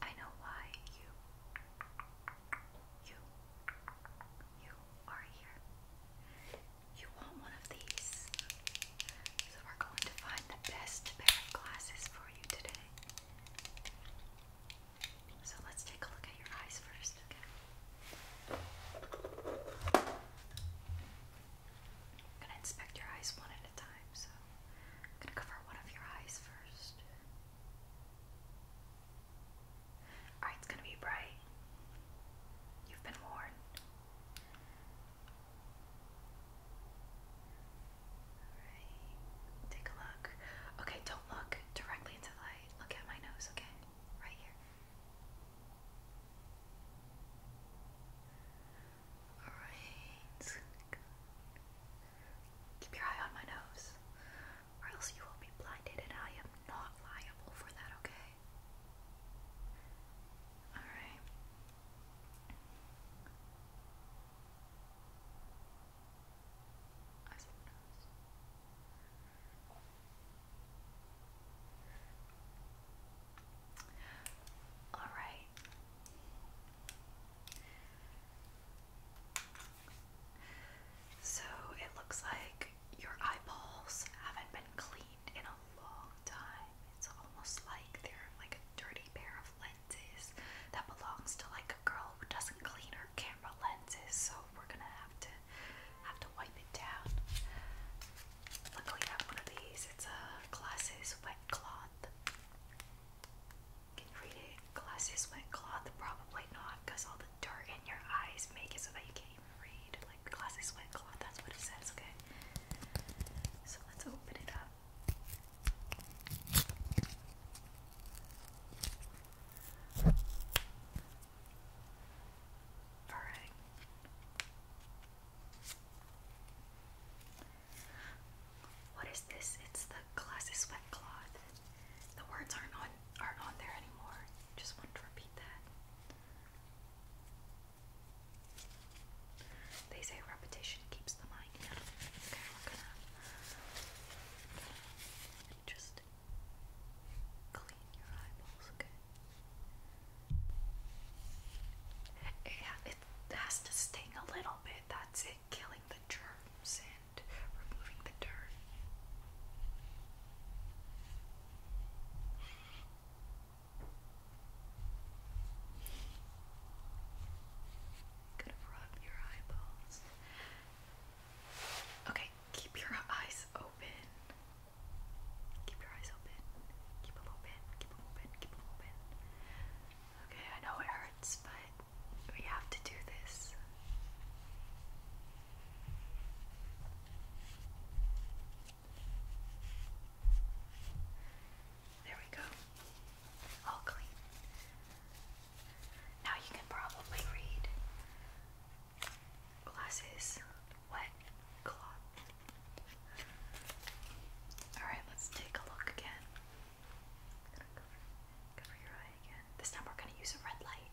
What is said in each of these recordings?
I know why you, you, you are here. You want one of these. So we're going to find the best pair of glasses for you today. So let's take a look at your eyes first, I'm gonna inspect your eyes one at a time, so I'm gonna cover one of your eyes first it's gonna be bright. You've been warned. Alright, take a look. Okay, don't look directly into the light. Look at my nose, okay? Right here. Alright. Keep your eye on my nose, or else you will be blinded, and I am not liable for that, okay? Alright. All right. So it looks like your eyeballs haven't been cleaned in a long time. It's almost like they're like a dirty pair of lenses that belongs to like a girl who doesn't clean her camera lenses. So we're gonna have to have to wipe it down. Luckily, I have one of these. It's a glasses wet cloth. Can you read it? Glasses went cloth? Probably not, because all the dirt in your eyes make it so that you can't even read. Like, glasses wet cloth, that's what it says, okay? So let's open it up. Alright. What is this? It's the classy sweat cloth. The words aren't on aren't on there anymore. Just wanted to repeat that. They say repetition keeps the mind young. Okay, we're gonna, just clean your eyeballs, okay? It, it has to sting a little bit, that's it killing the germs and removing the dirt? Gonna rub your eyeballs. Okay, keep your eyes open. Keep your eyes open. Keep them open. Keep them open. Keep them open. Okay, I know it hurts, but we have to do this. There we go. All clean. Now you can probably read glasses, wet cloth. Alright, let's take a look again. Cover your eye again. This time we're going to use a red light.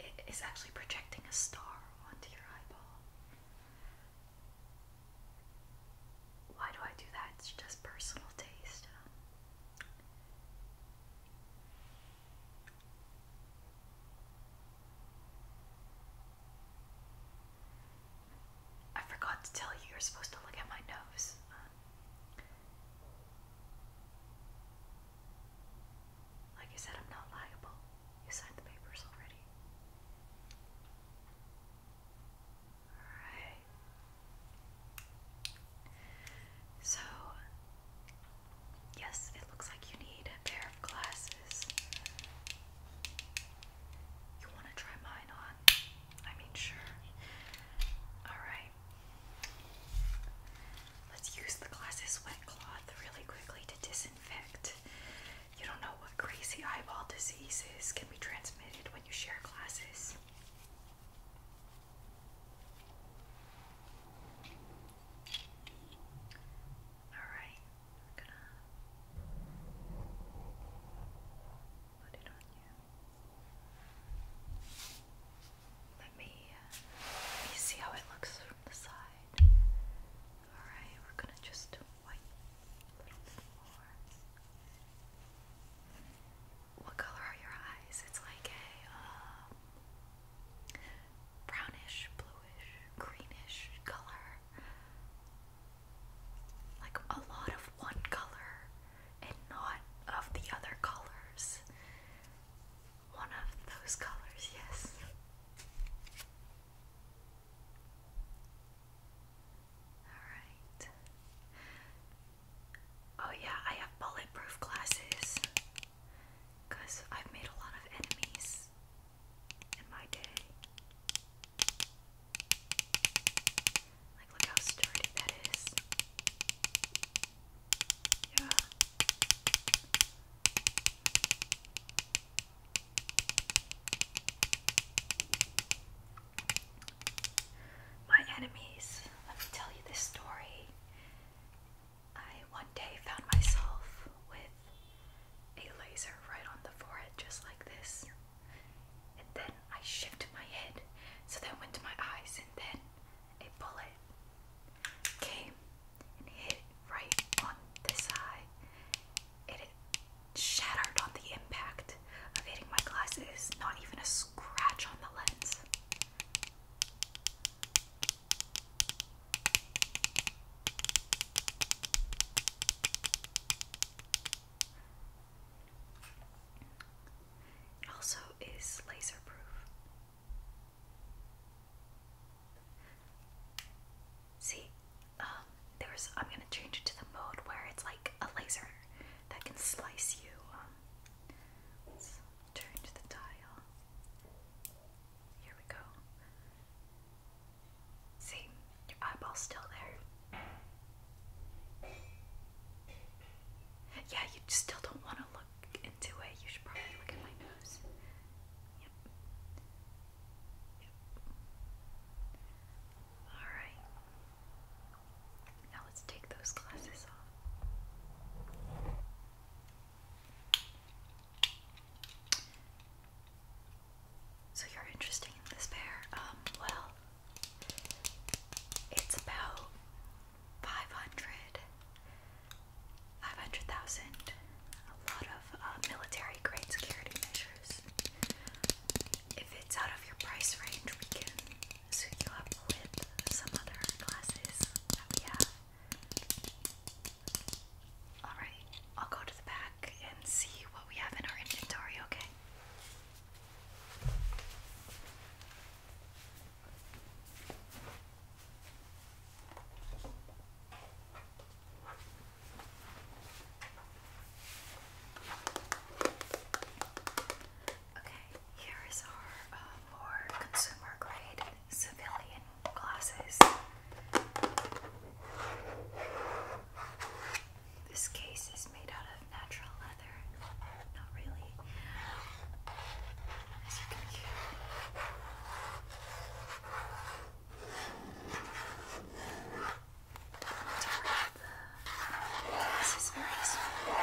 It is actually projecting a star onto your eyeball. Why do I do that? It's just personal taste. I forgot to tell you you're supposed to look at my nose. Like I said, I'm not liable. You signed the papers already. Alright. So, Yes, it looks like you need a pair of glasses. You want to try mine on? I mean, sure. Alright. Let's use the glasses wet cloth really quickly to disinfect. You don't know what crazy eyeball diseases can be transmitted when you share glasses. Alright. Let me, uh, see how it looks from the side. Alright, we're gonna just wipe a little more. What color are your eyes? It's like a um, brownish blue greenish color. Like a lot of one color and not of the other colors. One of those colors, yes. Alright. Oh, yeah, I have bulletproof glasses because I've made a lot of enemies in my day. Like, look how sturdy that is. Yeah. My enemies, let me tell you this story. I one day found myself with a laser right on the forehead, just like this. And then I shifted my head so that went to my eyes, and then a bullet came and hit right on this eye. It shattered on the impact of hitting my glasses, not even a scratch on the lens. It also is laser proof. See, um, there's. I'm gonna change it to the mode where it's like a laser that can slice you. Um, turn to the dial. Here we go. See, your eyeball's still there. Yeah, you still don't want to look into it. You should probably look at my nose. Yep. Yep. Alright. Now let's take those glasses off. So you're interested in this pair? Um, well, it's about 500, A lot of uh, military grade security measures. If it's out of your price range, we can suit you up with some other glasses that Alright, I'll go to the back and see what we have in our inventory, okay? Okay, here is our uh, more consumer grade civilian glasses. This case is made out of natural leather. Not really. This is very small.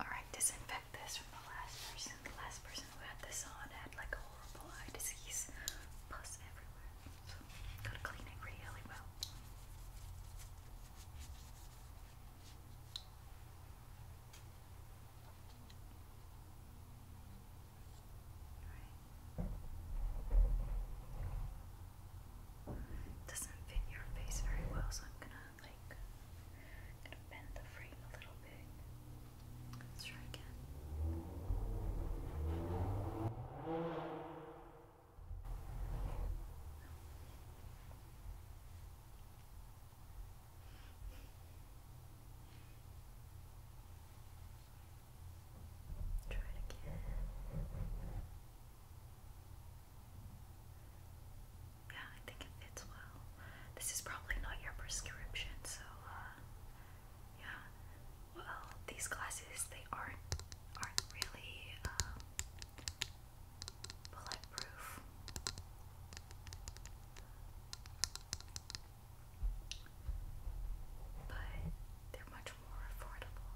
Alright, disinfect this from the last person. The last person who had this on had like a horrible eye disease. Plus everywhere. So, gotta clean it really well. Doesn't fit your face very well, so I'm gonna like gonna bend the frame a little bit. Let's try again. Try it again. Yeah, I think it fits well. This is probably not your prescription, so uh, yeah. Well, these glasses they aren't aren't really um, bulletproof. But they're much more affordable.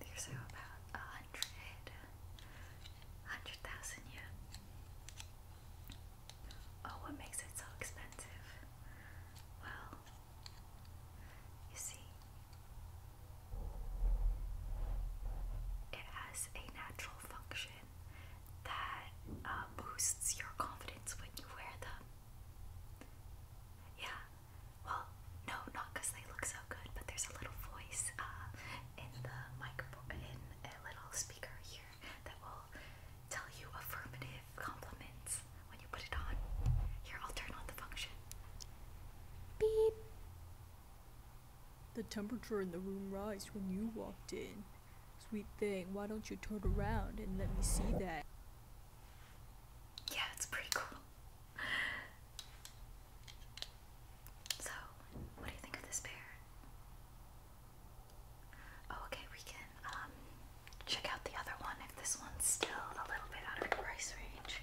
These about a hundred, hundred thousand yen. Oh, what makes it so expensive? Well, you see, it has a natural function that uh, boosts your confidence when you wear them. Yeah, well, no, not because they look so good, but there's a little voice uh, in the mic, in a little speaker here that will tell you affirmative compliments when you put it on. Here, I'll turn on the function. Beep. The temperature in the room rise when you walked in. Sweet thing, why don't you turn around and let me see that? Yeah, it's pretty cool. So, what do you think of this pair? Oh, okay, we can um, check out the other one if this one's still a little bit out of the price range.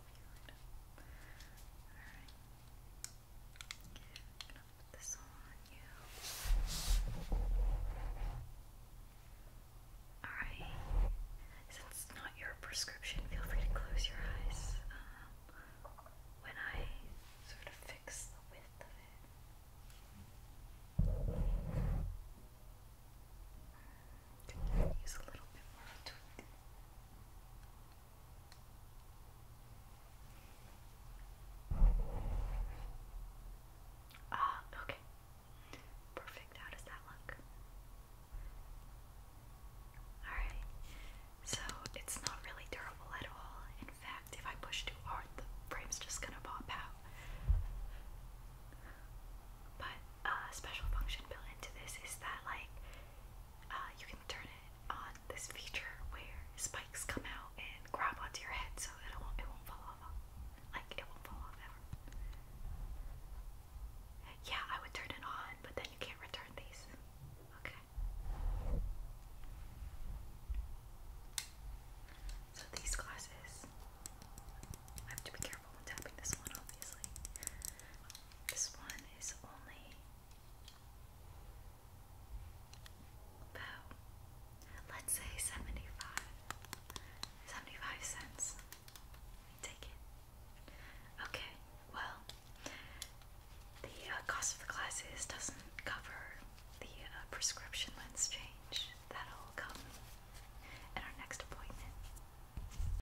cleared. Alright. I'm gonna put this on you. Alright. Since it's not your prescription, feel free to close your eyes. Um, when I sort of fix the width of it. Use a little bit more Ah, okay. Perfect. How does that look? Alright. So it's not really durable at all. In fact, if I push too hard, the frame's just gonna pop out. But uh, special function built into this is that like uh, you can turn it on this feature where spikes come out and grab onto your head so it won't it won't fall off like it won't fall off ever. Yeah, I would turn it on, but then you can't return these. Okay. So these glasses, I have to be careful when tapping this one, obviously. This one is only let's say, 75, cents. take it. Okay, well, the uh, cost of the glasses doesn't cover the uh, prescription lens change. That'll come at our next appointment.